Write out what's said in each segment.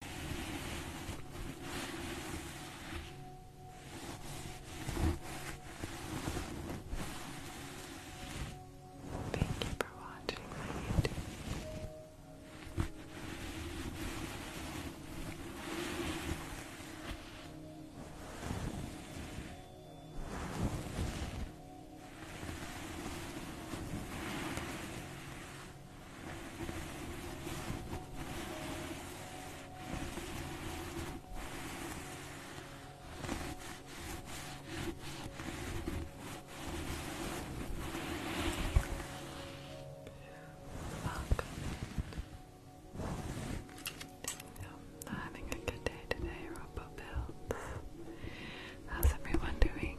Thank you for watching my YouTube. I'm having a good day today, Robo Builds. How's everyone doing?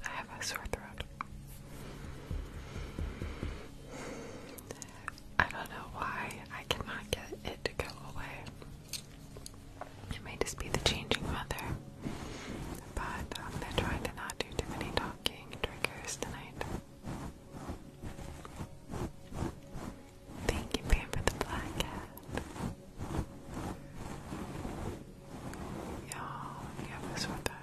So I have a sore throat I don't know why I cannot get it to go away. It may just be the changing weather, but I'm gonna try to not do too many talking triggers tonight. Thank you, Pam, for the black cat. Y'all, yeah, this one, that.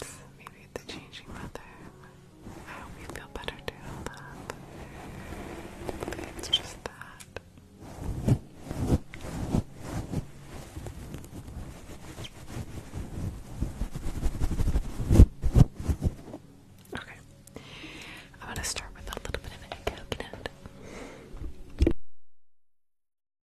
It's maybe the changing weather. I hope you feel better too, love. it's just that. Okay. I'm gonna start with a little bit of a coconut.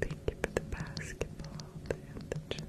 Thank you the basketball and the chili.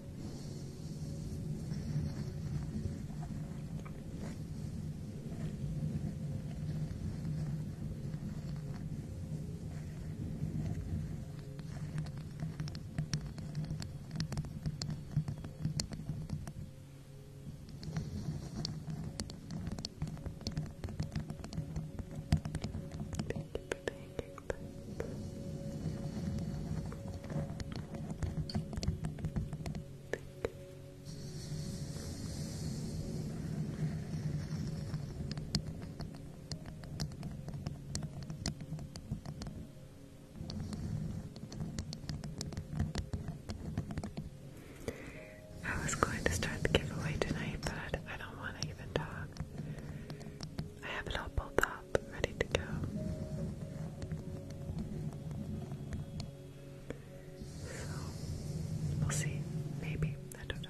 Pancake, pancake, I was going to start the giveaway tonight, but I, don't want to even talk. I have it all pulled off up, ready to go. So, we'll see. Maybe. I don't know.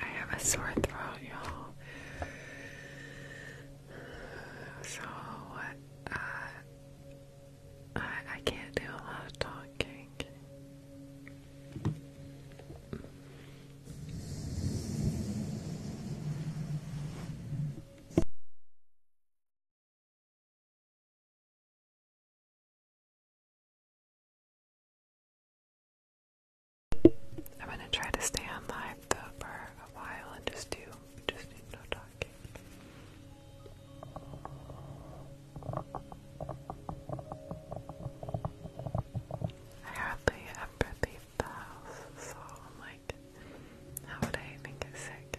I have a sore throat, y'all. So, uh, I, can't do a lot of talking. I'm gonna try to stay on for a while and just do just no talking. I hardly ever leave the house, so I'm like, how would I even get sick?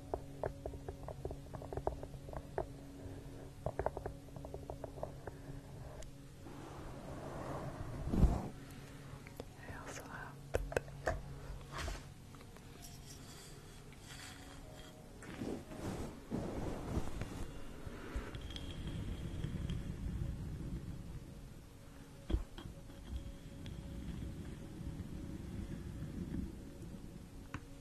I also have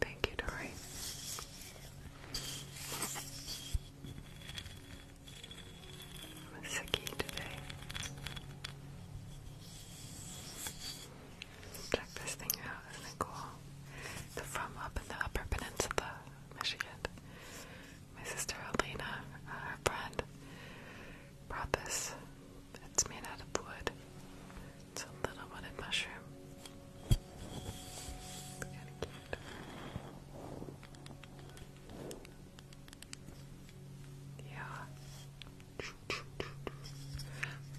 Thank you, Dory. i today. Check this thing out, isn't it cool? they from up in the Upper Peninsula, Michigan. My sister Alina, uh, her friend, brought this. It's made out of wood. It's a little wooden mushroom. of cute. Yeah.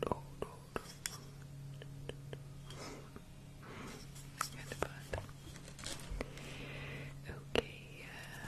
Okay. Uh,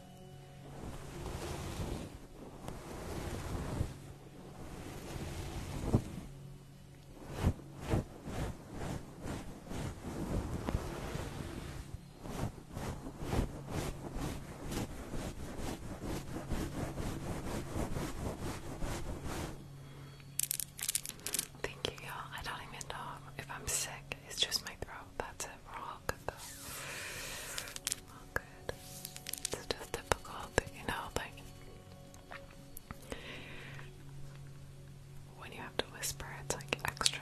Thank you, y'all. I don't even know if I'm sick. It's just my throat. That's it. we long ago. All good. It's just difficult, you know, like when you have to whisper, it's like extra.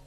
Thank you, Carrie.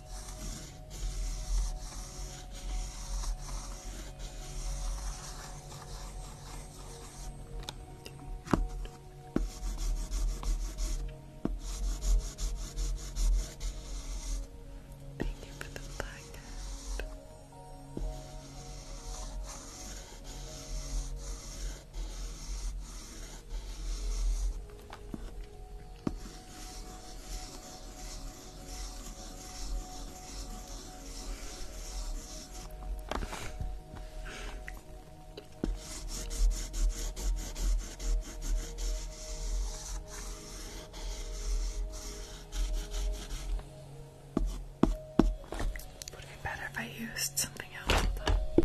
Thank you for the blanket. Would be better if I used something else. Though.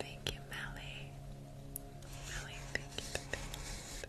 Thank you, Melly. Melly, thank you.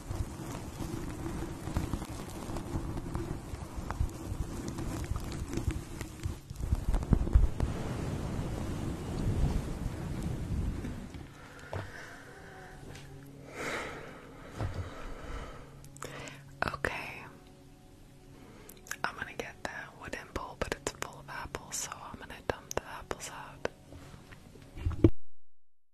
Okay. I'm gonna get that wooden bowl, but it's full of apples, so I'm gonna dump the apples out.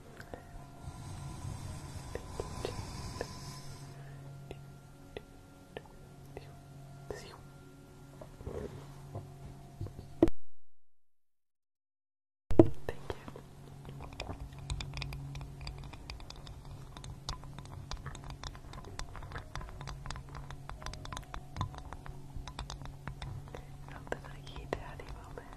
Thank you. Not that I eat daddy moment.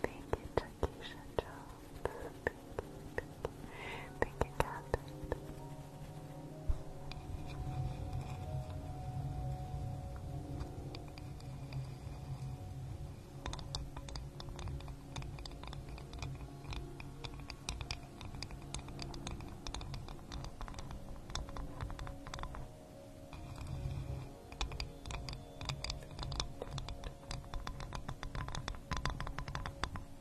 Thank you, Takisha Thank you, Cat. Thank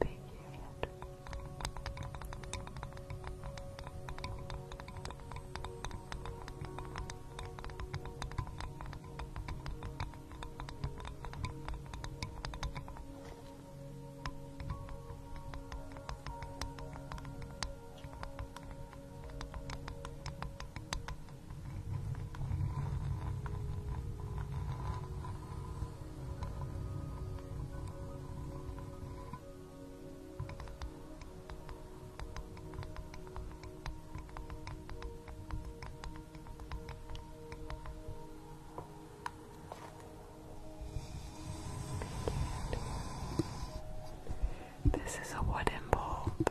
Period. Thank this is a wooden bulb.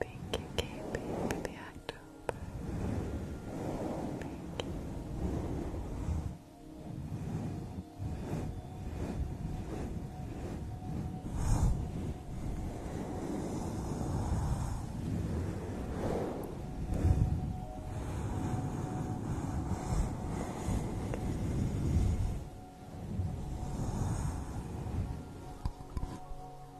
Thank you, Katie, for the October. Thank you. Thank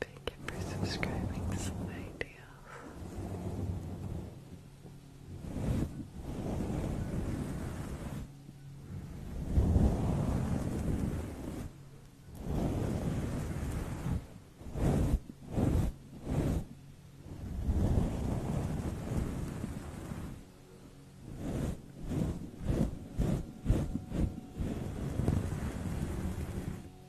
Thank you for subscribing to my channel.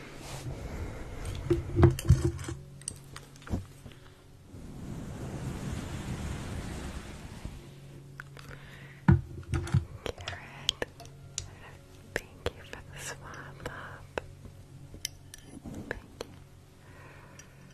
Carrot, thank you for the swap up. thank you, thank you.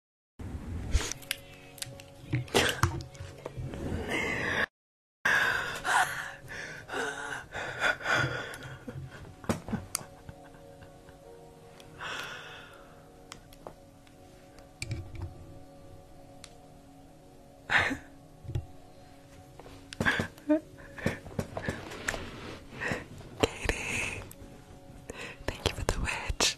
Katie, thank you for the witch.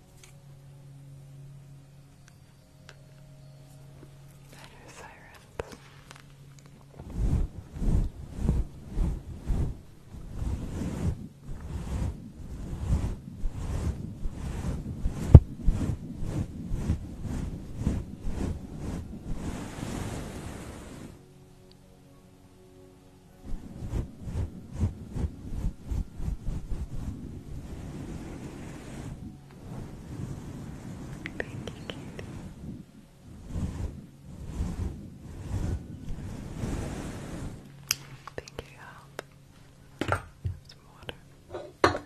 Better sirens. Thank you, Katie. Thank you, help. Some water.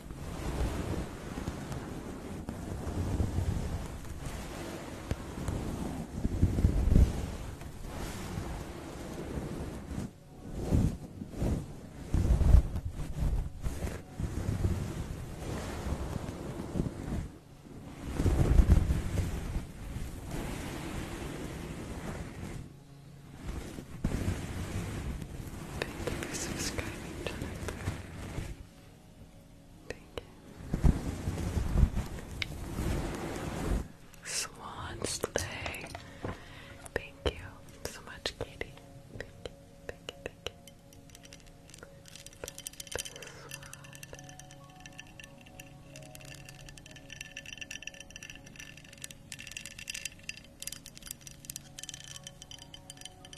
Thank you for subscribing, Jennifer. Thank you. Swan sleigh. Thank you so much, Katie.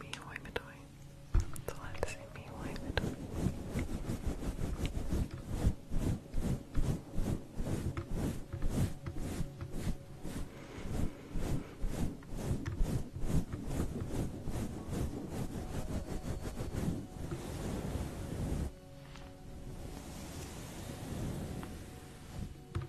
Mihoi Midoi. It's allowed to say Mihoi Midoi. Good.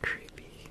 Creepy.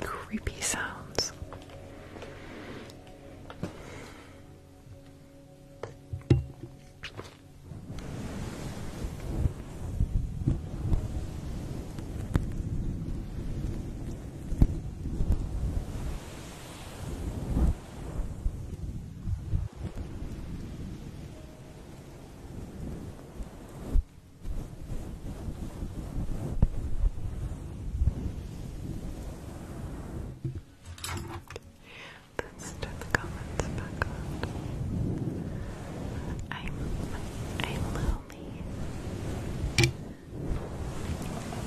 creepy sounds. Let's turn the comments back on. I'm I'm lonely.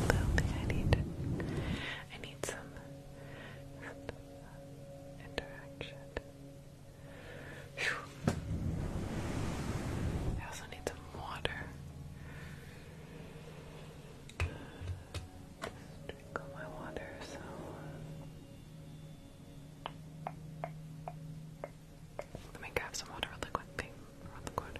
Lonely. I need I need some interaction. I also need some water. drink all my water, so. Let me grab some water really quickly. Really quick.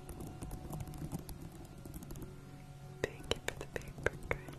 Thank you for the paper craft.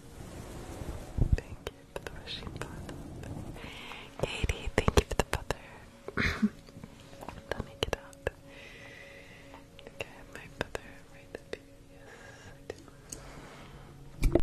Thank you for the rushing bottle. Katie, thank you for the butter. Let me get out. I my butter right up Yes,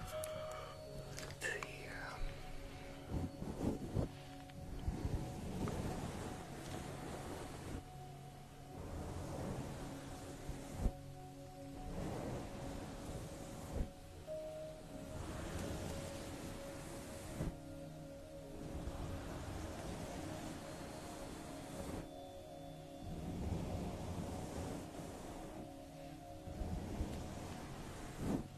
Let's see here. Okay.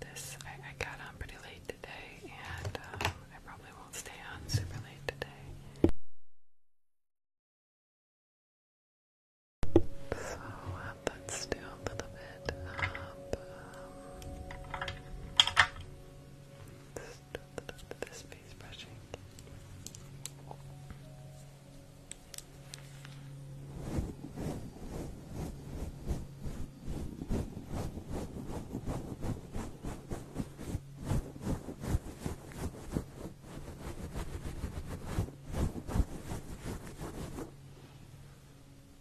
This I, got on pretty late today, and um, I probably won't stay on super late today. So uh, that's still a little bit a bit of this face brushing.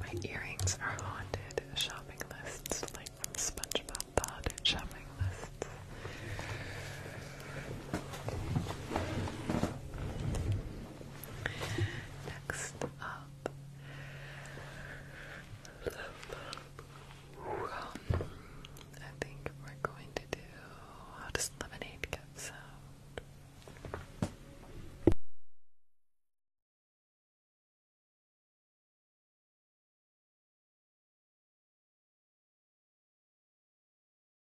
My earrings are haunted shopping lists, like SpongeBob, haunted shopping lists. Next up, um, I think we're going to do how does lemonade get sound?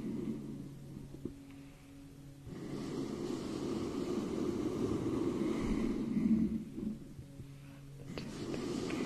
Madeline, thank you. Good, good, good.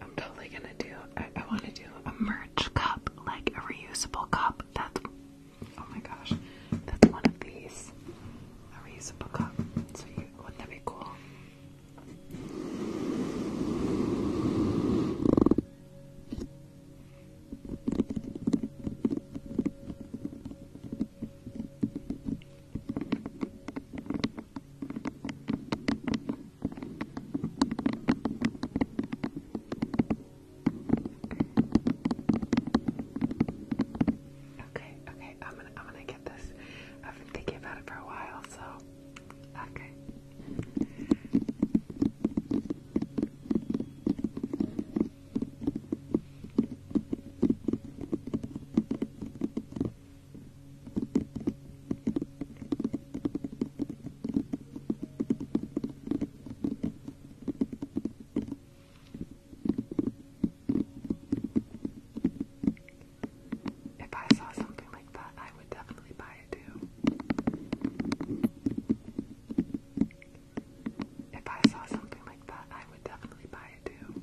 I'm totally gonna do. I, want to do a merch cup, like a reusable cup. That's oh my gosh, that's one of these. A reusable cup. So you wouldn't that be cool? Okay, okay, I'm gonna I'm gonna get this. I've been thinking about it for a while, so okay. If I saw something like that, I would definitely buy it too. If I saw something like that, I would definitely buy it too.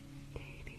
Katie.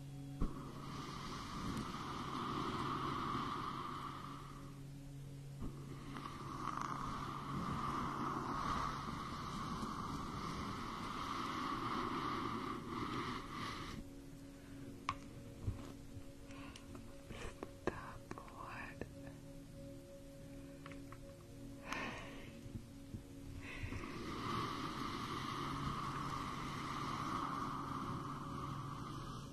Stop what?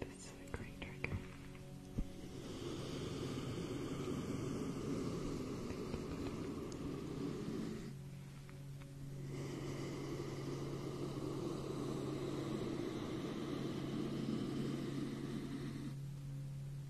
This is a great trigger. Thank you,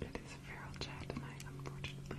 It is a feral chat tonight, unfortunately.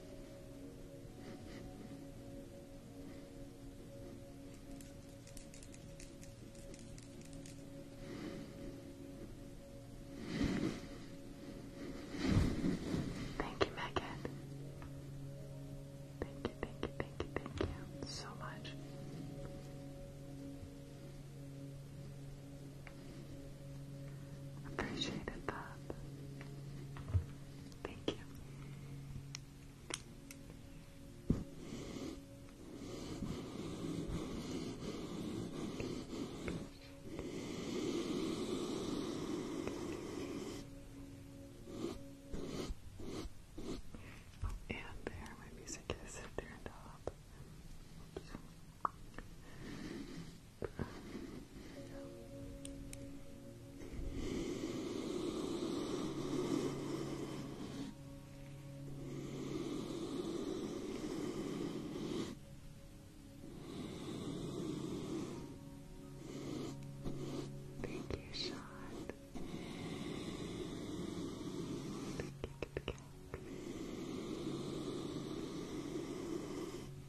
Thank you, Megan. Thank you, thank you, thank you, thank you so much. Appreciated that. Thank you. And there, my music is there, top. Thank you, Sean. Thank you,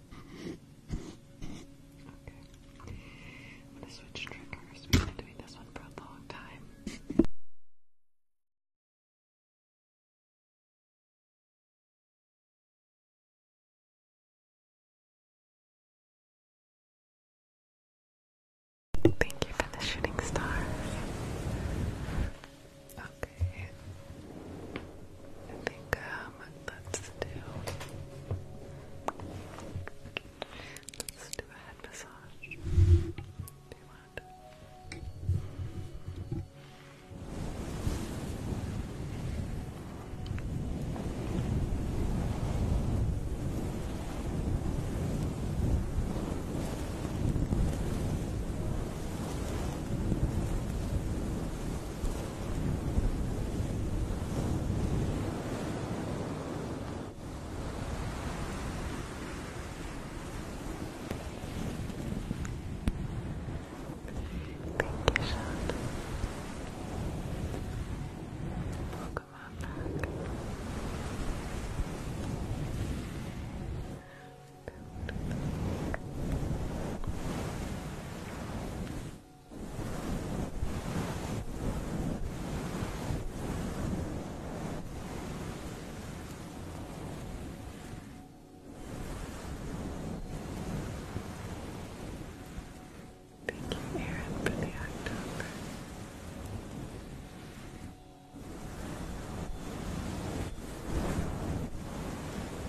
Okay. I'm gonna switch triggers. We've been doing this one for a long time. Thank you for the shooting stars. Oh, Okay. I think um let's do let's do a head massage. Do you want? Thank you, Shonda. Welcome back. Thank you, Aaron, for the October.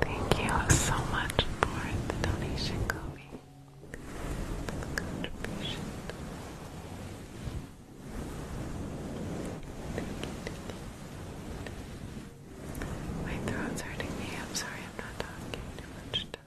Thank you so much for the donation, Kobe. contribution. My throat's hurting me. I'm sorry I'm not talking much tonight.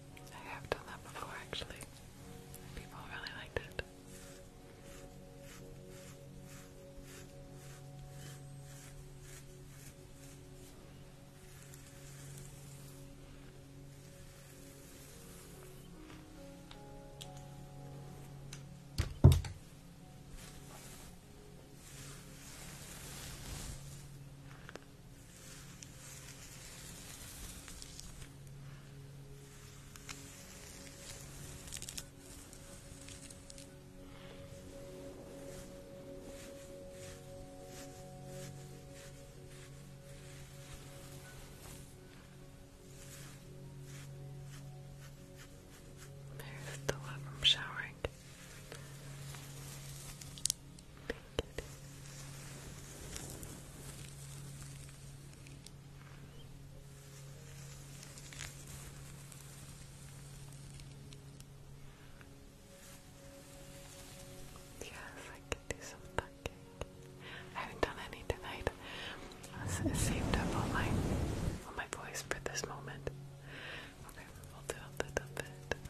I have done that before actually. People really liked it. There's the love from showering. Yes, I can do some packing. I haven't done any tonight. I saved up all my all my voice for this moment. Okay, we'll do a little bit of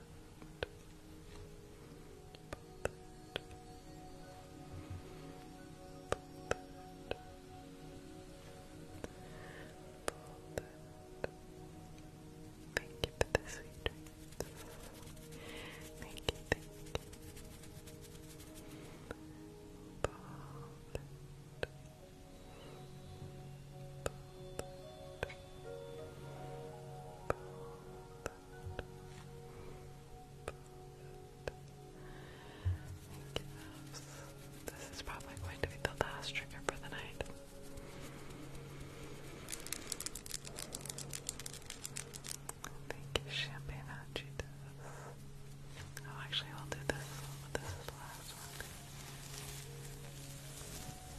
Thank you for the sweet dreams. Thank you, thank you. This is probably going to be the last trigger for the night. Thank you, Champagne Hot Cheetos. Oh, actually, I'll do this this is the last one.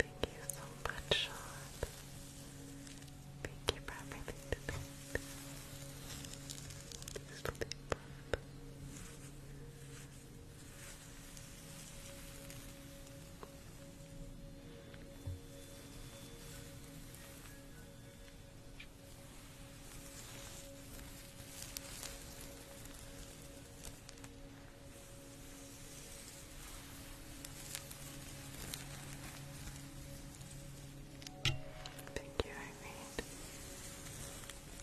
Thank you so much, Sean. Thank you for everything tonight. Sleep Thank you, Irene.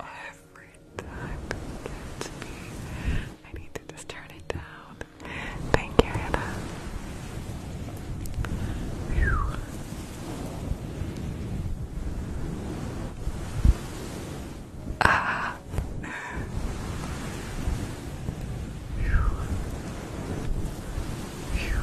Every time it gets me. I need to just turn it down. Thank you, Hannah. Ah. Whew. Whew.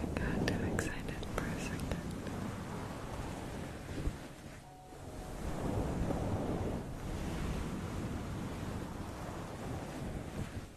I got too excited for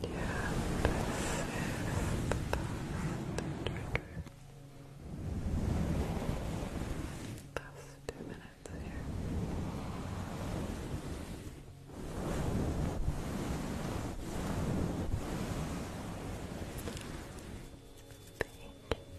Yeah, this is the trigger. two minutes here. Thank you.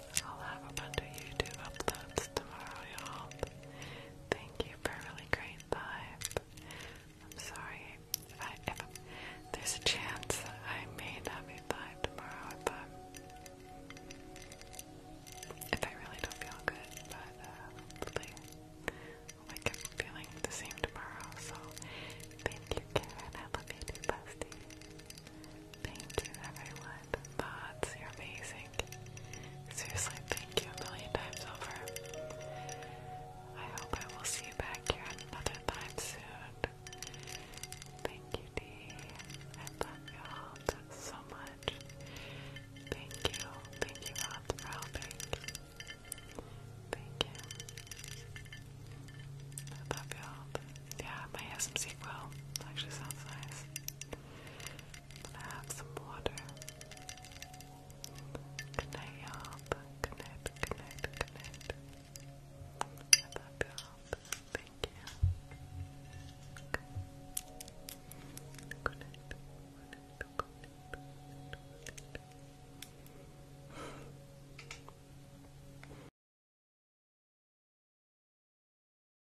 I'll have a bunch of YouTube uploads tomorrow, y'all. Thank you for a really great live. I'm sorry if, I, if there's a chance that I may not be live tomorrow if I'm if I really don't feel good, but uh, hopefully I'll wake up feeling the same tomorrow. So thank you, Karen. I love you too, Busty. Thank you, everyone. Thoughts, you're amazing. Seriously, thank you a million times over. I hope I will see you back here another time soon. Thank you, Dee. I love y'all so much. Thank you. Thank you, Rob, for helping. Thank you. love y'all. Yeah, my ASMC quill actually sounds nice. I'm gonna have some water. Good night, y'all. Good I love you Thank you. Okay.